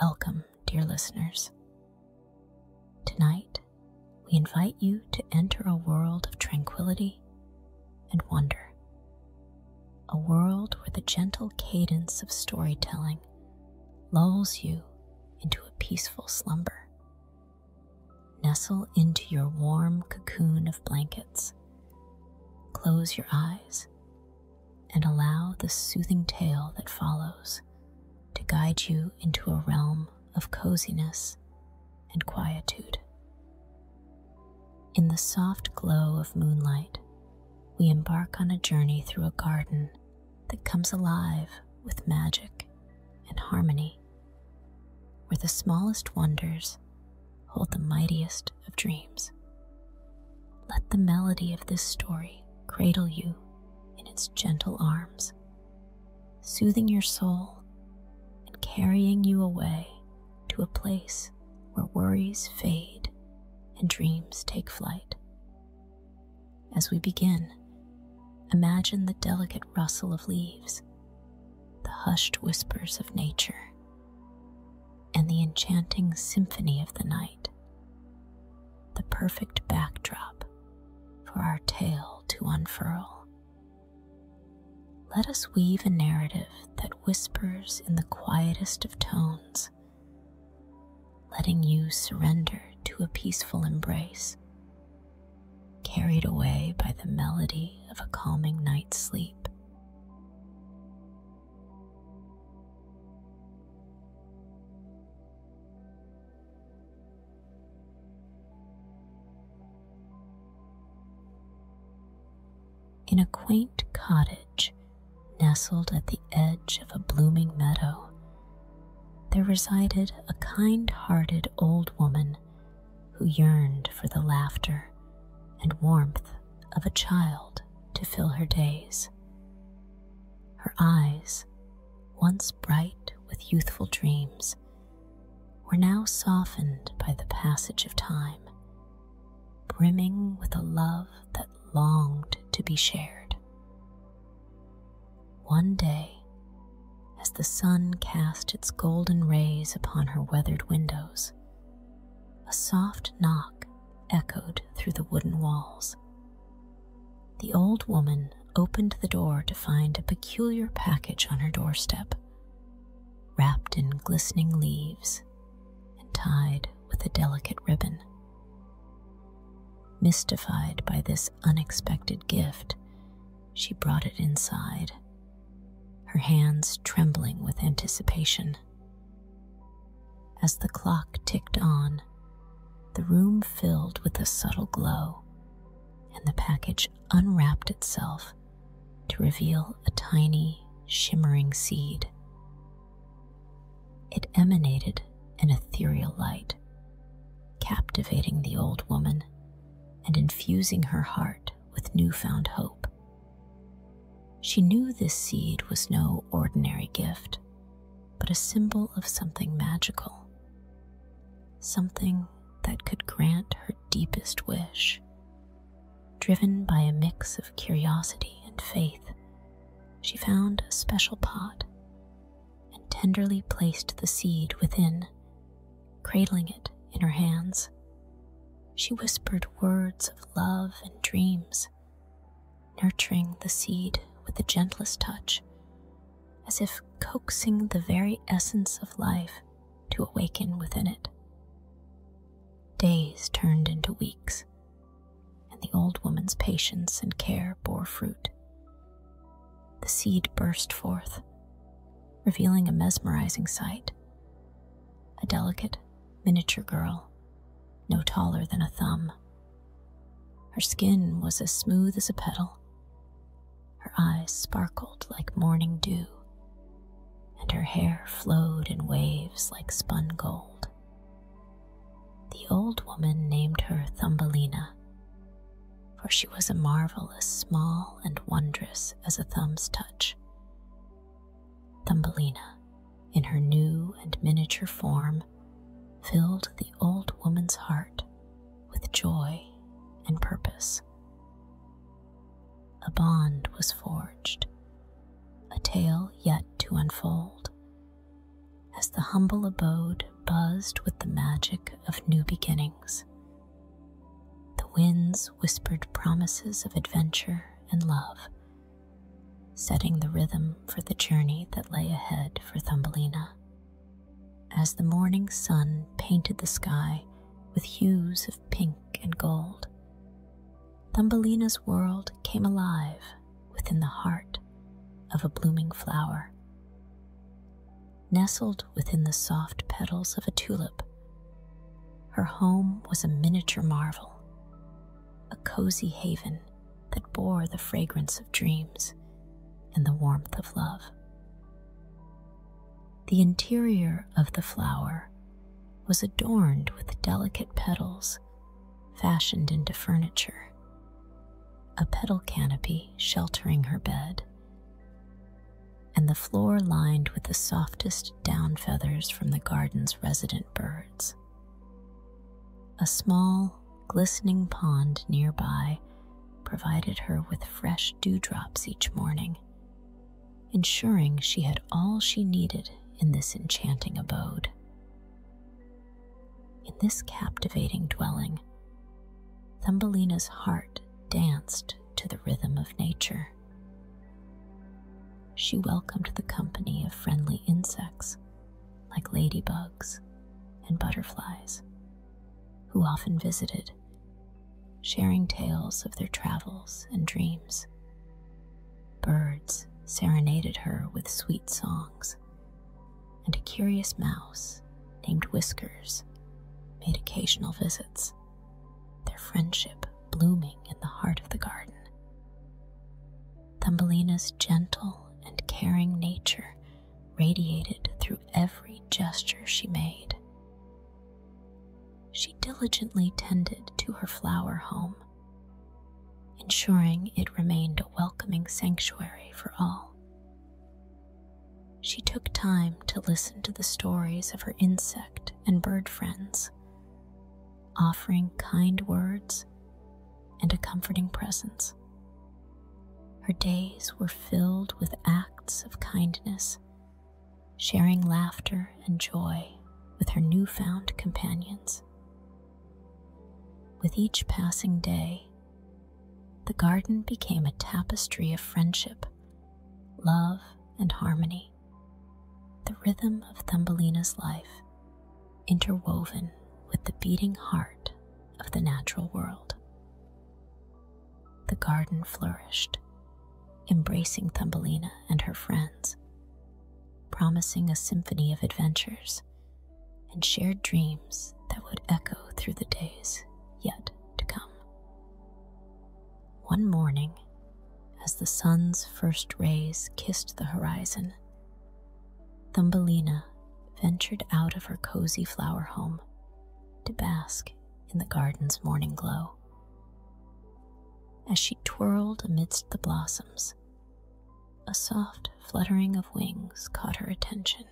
Welcome, dear listeners. Tonight, we invite you to enter a world of tranquility and wonder, a world where the gentle cadence of storytelling lulls you into a peaceful slumber. Nestle into your warm cocoon of blankets. Close your eyes and allow the soothing tale that follows to guide you into a realm of coziness and quietude. In the soft glow of moonlight, we embark on a journey through a garden that comes alive with magic and harmony, where the smallest wonders hold the mightiest of dreams. Let the melody of this story cradle you in its gentle arms, soothing your soul and carrying you away to a place where worries fade and dreams take flight. As we begin, imagine the delicate rustle of leaves, the hushed whispers of nature, and the enchanting symphony of the night, the perfect backdrop for our tale to unfurl. Let us weave a narrative that whispers in the quietest of tones, letting you surrender to a peaceful embrace, carried away by the melody of a calming night's sleep. In a quaint cottage nestled at the edge of a blooming meadow, there resided a kind hearted old woman who yearned for the laughter and warmth of a child to fill her days. Her eyes, once bright with youthful dreams, were now softened by the passage of time, brimming with a love that longed to be shared. One day, as the sun cast its golden rays upon her weathered windows, a soft knock echoed through the wooden walls. The old woman opened the door to find a peculiar package on her doorstep, wrapped in glistening leaves and tied with a delicate ribbon. Mystified by this unexpected gift, she brought it inside, her hands trembling with anticipation. As the clock ticked on, the room filled with a subtle glow, and the package unwrapped itself to reveal a tiny, shimmering seed. It emanated an ethereal light, captivating the old woman and infusing her heart with newfound hope. She knew this seed was no ordinary gift, but a symbol of something magical, something that could grant her deepest wish. Driven by a mix of curiosity and faith, she found a special pot and tenderly placed the seed within, cradling it in her hands. She whispered words of love and dreams, nurturing the seed with the gentlest touch, as if coaxing the very essence of life to awaken within it. Days turned into weeks, and the old woman's patience and care bore fruit. The seed burst forth, revealing a mesmerizing sight. A delicate, miniature girl, no taller than a thumb, her skin was as smooth as a petal. Her eyes sparkled like morning dew, and her hair flowed in waves like spun gold. The old woman named her Thumbelina, for she was a marvel as small and wondrous as a thumb's touch. Thumbelina in her new and miniature form, filled the old woman's heart with joy and purpose. A bond was forged, a tale yet to unfold, as the humble abode buzzed with the magic of new beginnings. The winds whispered promises of adventure and love setting the rhythm for the journey that lay ahead for Thumbelina. As the morning sun painted the sky with hues of pink and gold, Thumbelina's world came alive within the heart of a blooming flower. Nestled within the soft petals of a tulip, her home was a miniature marvel, a cozy haven that bore the fragrance of dreams and the warmth of love. The interior of the flower was adorned with delicate petals fashioned into furniture, a petal canopy sheltering her bed, and the floor lined with the softest down feathers from the garden's resident birds. A small, glistening pond nearby provided her with fresh dewdrops each morning, ensuring she had all she needed in this enchanting abode. In this captivating dwelling, Thumbelina's heart danced to the rhythm of nature. She welcomed the company of friendly insects like ladybugs and butterflies, who often visited, sharing tales of their travels and dreams. Birds serenaded her with sweet songs, and a curious mouse named Whiskers made occasional visits, their friendship blooming in the heart of the garden. Thumbelina's gentle and caring nature radiated through every gesture she made. She diligently tended to her flower home, ensuring it remained a welcoming sanctuary for all. She took time to listen to the stories of her insect and bird friends, offering kind words and a comforting presence. Her days were filled with acts of kindness, sharing laughter and joy with her newfound companions. With each passing day, the garden became a tapestry of friendship, love, and harmony, the rhythm of Thumbelina's life interwoven with the beating heart of the natural world. The garden flourished, embracing Thumbelina and her friends, promising a symphony of adventures and shared dreams that would echo through the days yet to come. One morning, as the sun's first rays kissed the horizon, Thumbelina ventured out of her cozy flower home to bask in the garden's morning glow. As she twirled amidst the blossoms, a soft fluttering of wings caught her attention.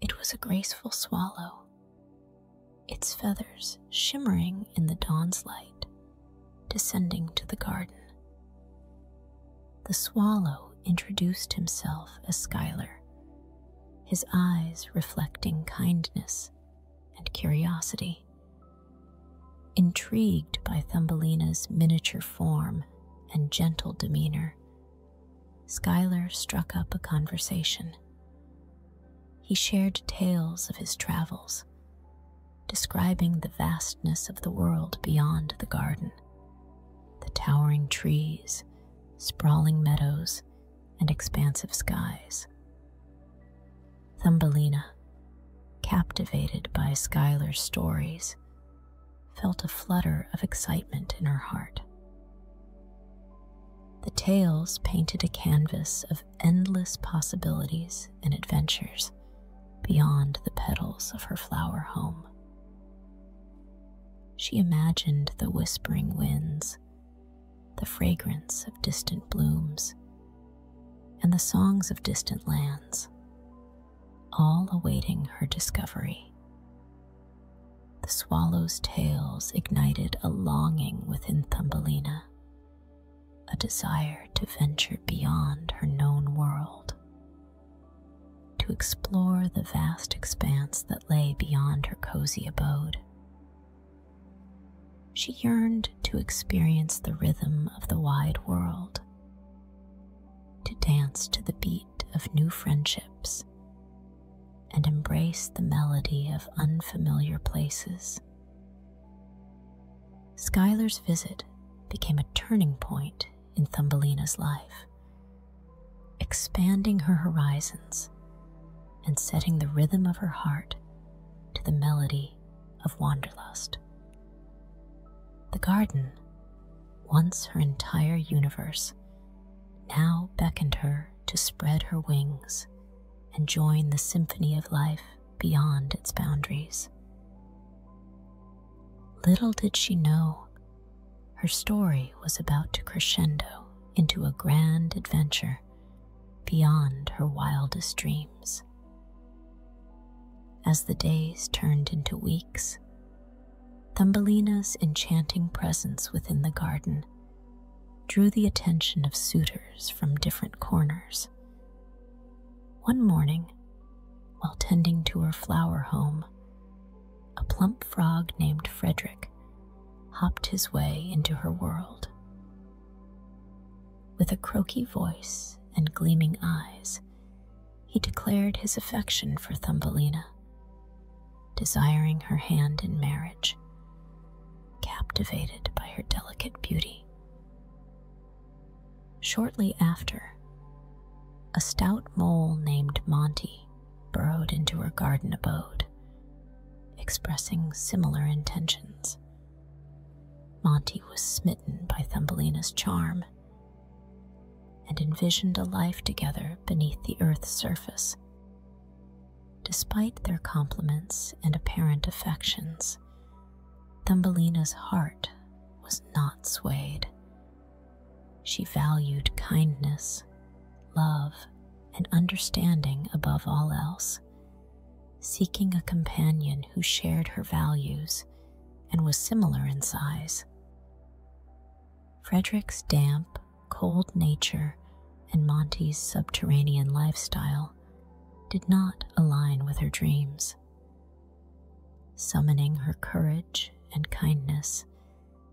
It was a graceful swallow, its feathers shimmering in the dawn's light descending to the garden. The swallow introduced himself as Schuyler, his eyes reflecting kindness and curiosity. Intrigued by Thumbelina's miniature form and gentle demeanor, Schuyler struck up a conversation. He shared tales of his travels, describing the vastness of the world beyond the garden the towering trees, sprawling meadows, and expansive skies. Thumbelina, captivated by Skylar's stories, felt a flutter of excitement in her heart. The tales painted a canvas of endless possibilities and adventures beyond the petals of her flower home. She imagined the whispering winds, the fragrance of distant blooms, and the songs of distant lands, all awaiting her discovery. The swallow's tales ignited a longing within Thumbelina a desire to venture beyond her known world, to explore the vast expanse that lay beyond her cozy abode. She yearned to experience the rhythm of the wide world, to dance to the beat of new friendships, and embrace the melody of unfamiliar places. Schuyler's visit became a turning point in Thumbelina's life, expanding her horizons and setting the rhythm of her heart to the melody of wanderlust. The garden, once her entire universe, now beckoned her to spread her wings and join the symphony of life beyond its boundaries. Little did she know, her story was about to crescendo into a grand adventure beyond her wildest dreams. As the days turned into weeks, Thumbelina's enchanting presence within the garden drew the attention of suitors from different corners. One morning, while tending to her flower home, a plump frog named Frederick hopped his way into her world. With a croaky voice and gleaming eyes, he declared his affection for Thumbelina, desiring her hand in marriage, captivated by her delicate beauty. Shortly after, a stout mole named Monty burrowed into her garden abode, expressing similar intentions. Monty was smitten by Thumbelina's charm and envisioned a life together beneath the earth's surface. Despite their compliments and apparent affections, Thumbelina's heart was not swayed. She valued kindness, love, and understanding above all else, seeking a companion who shared her values and was similar in size. Frederick's damp, cold nature and Monty's subterranean lifestyle did not align with her dreams. Summoning her courage and kindness,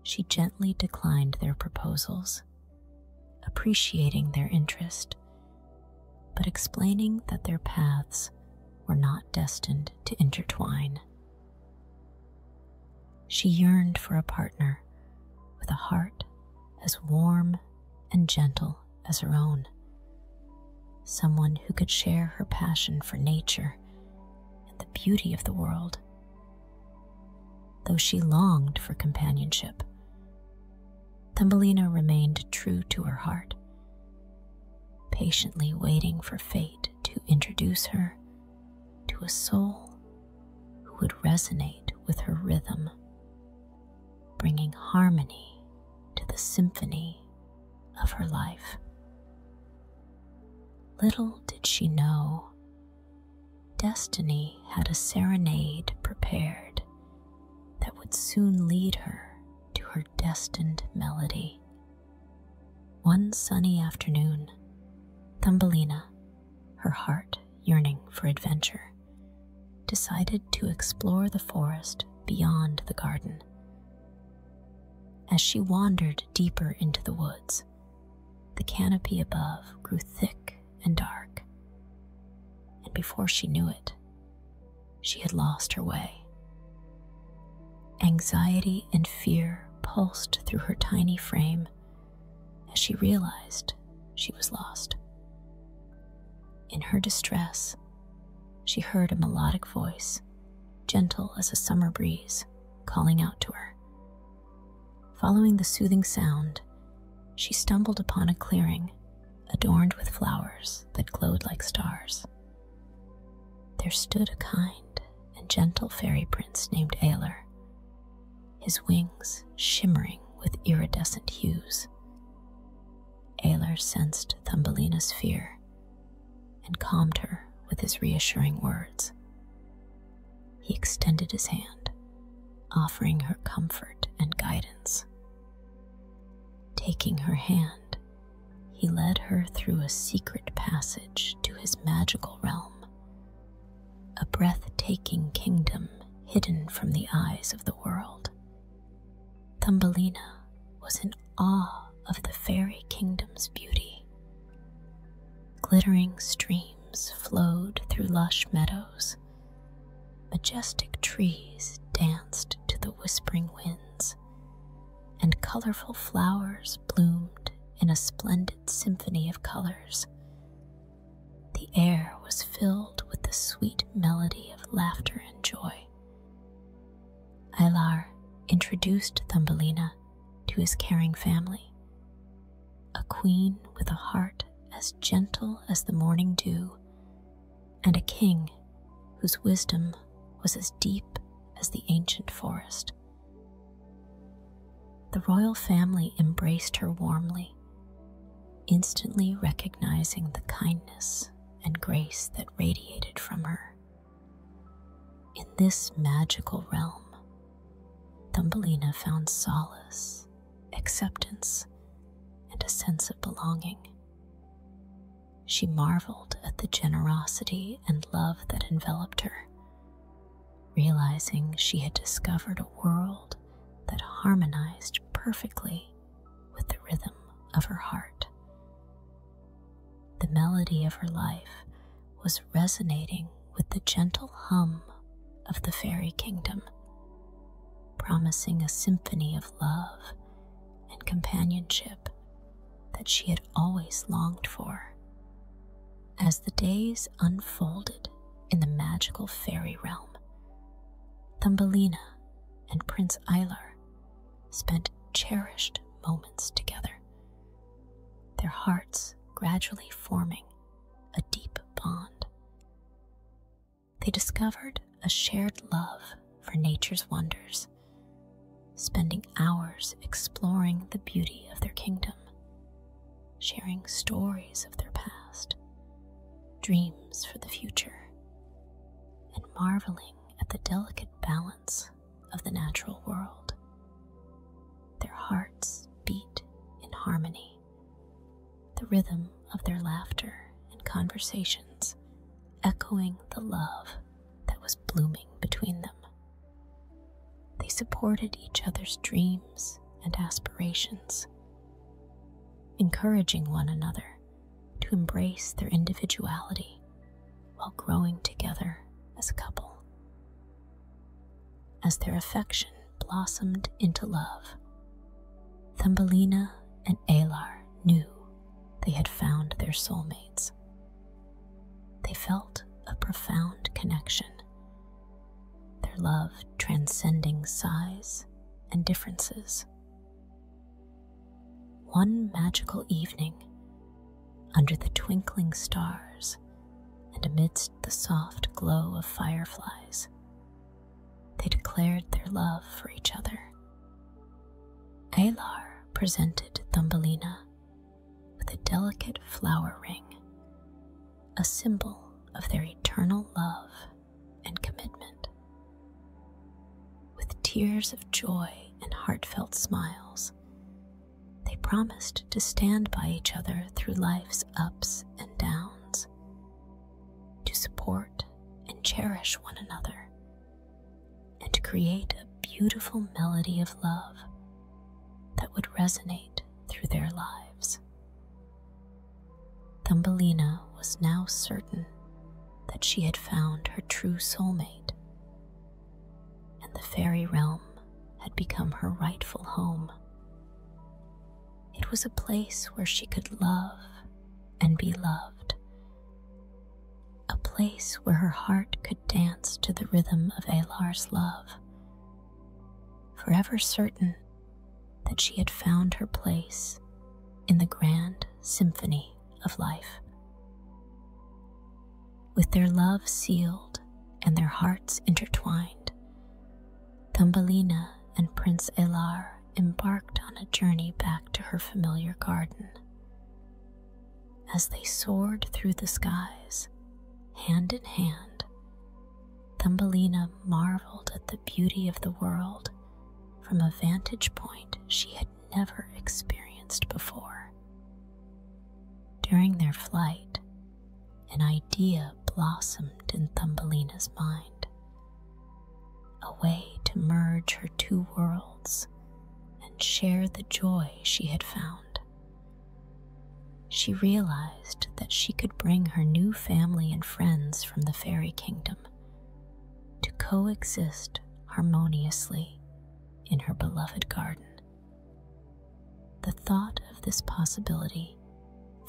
she gently declined their proposals, appreciating their interest, but explaining that their paths were not destined to intertwine. She yearned for a partner with a heart as warm and gentle as her own. Someone who could share her passion for nature and the beauty of the world. Though she longed for companionship, Thumbelina remained true to her heart, patiently waiting for fate to introduce her to a soul who would resonate with her rhythm, bringing harmony to the symphony of her life. Little did she know, destiny had a serenade prepared that would soon lead her to her destined melody. One sunny afternoon, Thumbelina, her heart yearning for adventure, decided to explore the forest beyond the garden as she wandered deeper into the woods, the canopy above grew thick and dark, and before she knew it, she had lost her way. Anxiety and fear pulsed through her tiny frame as she realized she was lost. In her distress, she heard a melodic voice, gentle as a summer breeze, calling out to her. Following the soothing sound, she stumbled upon a clearing adorned with flowers that glowed like stars. There stood a kind and gentle fairy prince named Aelor, his wings shimmering with iridescent hues. Aelor sensed Thumbelina's fear and calmed her with his reassuring words. He extended his hand, offering her comfort and guidance. Taking her hand, he led her through a secret passage to his magical realm, a breathtaking kingdom hidden from the eyes of the world. Thumbelina was in awe of the fairy kingdom's beauty. Glittering streams flowed through lush meadows. Majestic trees danced to the whispering winds, and colorful flowers bloomed in a splendid symphony of colors. The air was filled with the sweet melody of laughter and joy boy. Eilar introduced Thumbelina to his caring family, a queen with a heart as gentle as the morning dew, and a king whose wisdom was as deep as the ancient forest. The royal family embraced her warmly, instantly recognizing the kindness and grace that radiated from her. In this magical realm, Thumbelina found solace, acceptance, and a sense of belonging. She marveled at the generosity and love that enveloped her, realizing she had discovered a world that harmonized perfectly with the rhythm of her heart. The melody of her life was resonating with the gentle hum of the fairy kingdom, promising a symphony of love and companionship that she had always longed for. As the days unfolded in the magical fairy realm, Thumbelina and Prince Eilar spent cherished moments together, their hearts gradually forming a deep bond. They discovered a shared love for nature's wonders, spending hours exploring the beauty of their kingdom, sharing stories of their past, dreams for the future, and marveling at the delicate balance of the natural world. Their hearts beat in harmony. The rhythm of their laughter and conversations echoing the love that was blooming between them. They supported each other's dreams and aspirations, encouraging one another to embrace their individuality while growing together as a couple. As their affection blossomed into love, Thumbelina and Alar knew they had found their soulmates. They felt a profound connection, their love transcending size and differences. One magical evening, under the twinkling stars and amidst the soft glow of fireflies, they declared their love for each other. Alar presented Thumbelina with a delicate flower ring, a symbol of their eternal love and commitment. With tears of joy and heartfelt smiles, they promised to stand by each other through life's ups and downs, to support and cherish one another, and to create a beautiful melody of love that would resonate through their lives. Thumbelina was now certain that she had found her true soulmate and the fairy realm had become her rightful home. It was a place where she could love and be loved, a place where her heart could dance to the rhythm of Alar's love, forever certain that she had found her place in the grand symphony of life. With their love sealed and their hearts intertwined, Thumbelina and Prince Elar embarked on a journey back to her familiar garden. As they soared through the skies, hand in hand, Thumbelina marveled at the beauty of the world from a vantage point she had never experienced before. During their flight, an idea blossomed in Thumbelina's mind a way to merge her two worlds and share the joy she had found. She realized that she could bring her new family and friends from the fairy kingdom to coexist harmoniously in her beloved garden. The thought of this possibility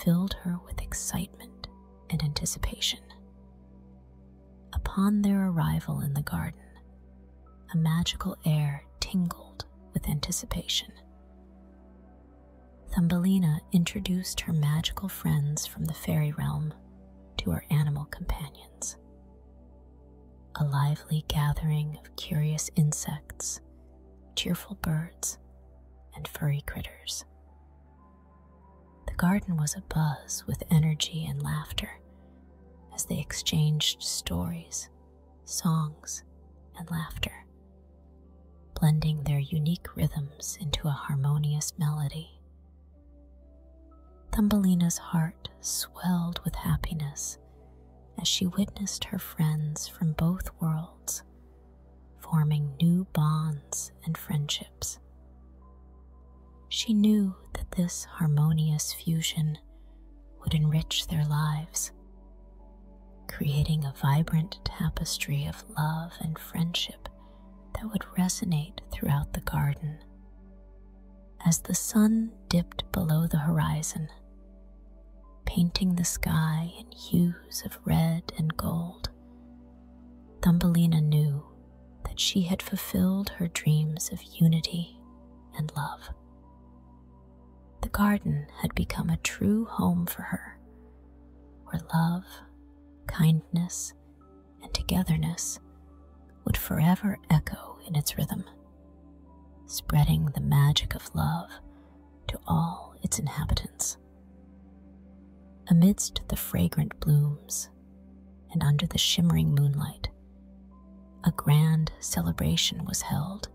filled her with excitement and anticipation. Upon their arrival in the garden, a magical air tingled with anticipation. Thumbelina introduced her magical friends from the fairy realm to her animal companions. A lively gathering of curious insects, cheerful birds, and furry critters. The garden was abuzz with energy and laughter as they exchanged stories, songs, and laughter, blending their unique rhythms into a harmonious melody Thumbelina's heart swelled with happiness as she witnessed her friends from both worlds forming new bonds and friendships. She knew that this harmonious fusion would enrich their lives, creating a vibrant tapestry of love and friendship that would resonate throughout the garden as the sun dipped below the horizon, painting the sky in hues of red and gold. Thumbelina knew that she had fulfilled her dreams of unity and love. The garden had become a true home for her, where love, kindness, and togetherness would forever echo in its rhythm, spreading the magic of love to all its inhabitants. Amidst the fragrant blooms and under the shimmering moonlight, a grand celebration was held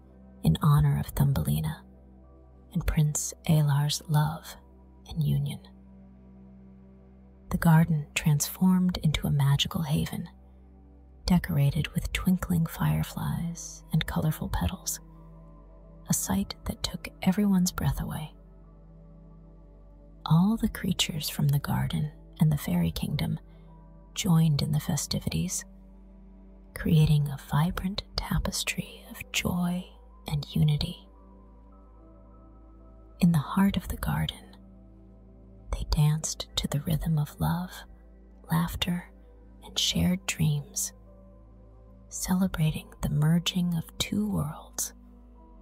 in honor of Thumbelina and Prince Alar's love and union the garden transformed into a magical haven, decorated with twinkling fireflies and colorful petals, a sight that took everyone's breath away. All the creatures from the garden and the fairy kingdom joined in the festivities, creating a vibrant tapestry of joy and unity. In the heart of the garden, they danced to the rhythm of love, laughter, and shared dreams, celebrating the merging of two worlds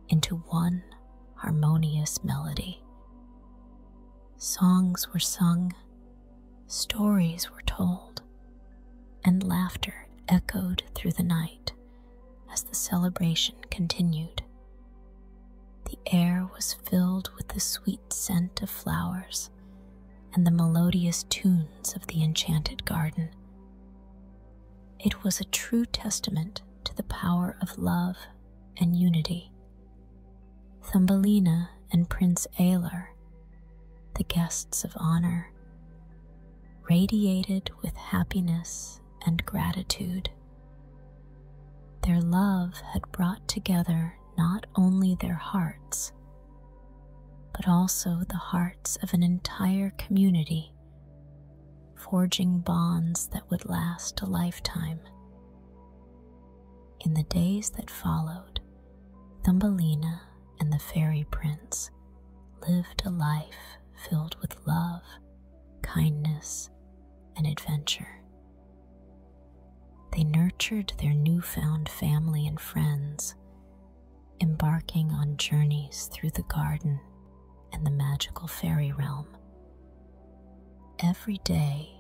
into one harmonious melody. Songs were sung, stories were told, and laughter echoed through the night as the celebration continued. The air was filled with the sweet scent of flowers and the melodious tunes of the enchanted garden. It was a true testament to the power of love and unity. Thumbelina and Prince Alar, the guests of honor, radiated with happiness and gratitude. Their love had brought together not only their hearts, but also the hearts of an entire community, forging bonds that would last a lifetime. In the days that followed, Thumbelina and the fairy prince lived a life filled with love, kindness, and adventure. They nurtured their newfound family and friends, embarking on journeys through the garden and the magical fairy realm. Every day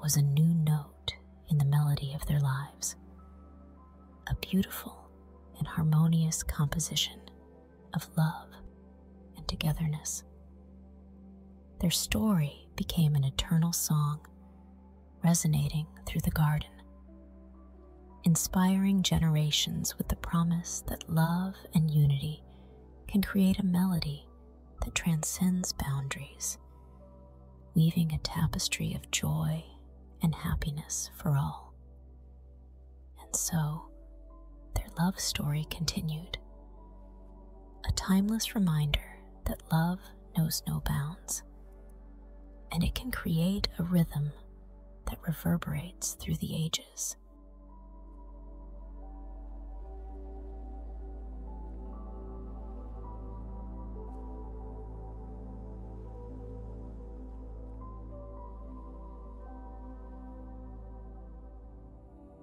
was a new note in the melody of their lives, a beautiful and harmonious composition of love and togetherness. Their story became an eternal song, resonating through the garden, inspiring generations with the promise that love and unity can create a melody that transcends boundaries, weaving a tapestry of joy and happiness for all. And so, their love story continued, a timeless reminder that love knows no bounds, and it can create a rhythm that reverberates through the ages.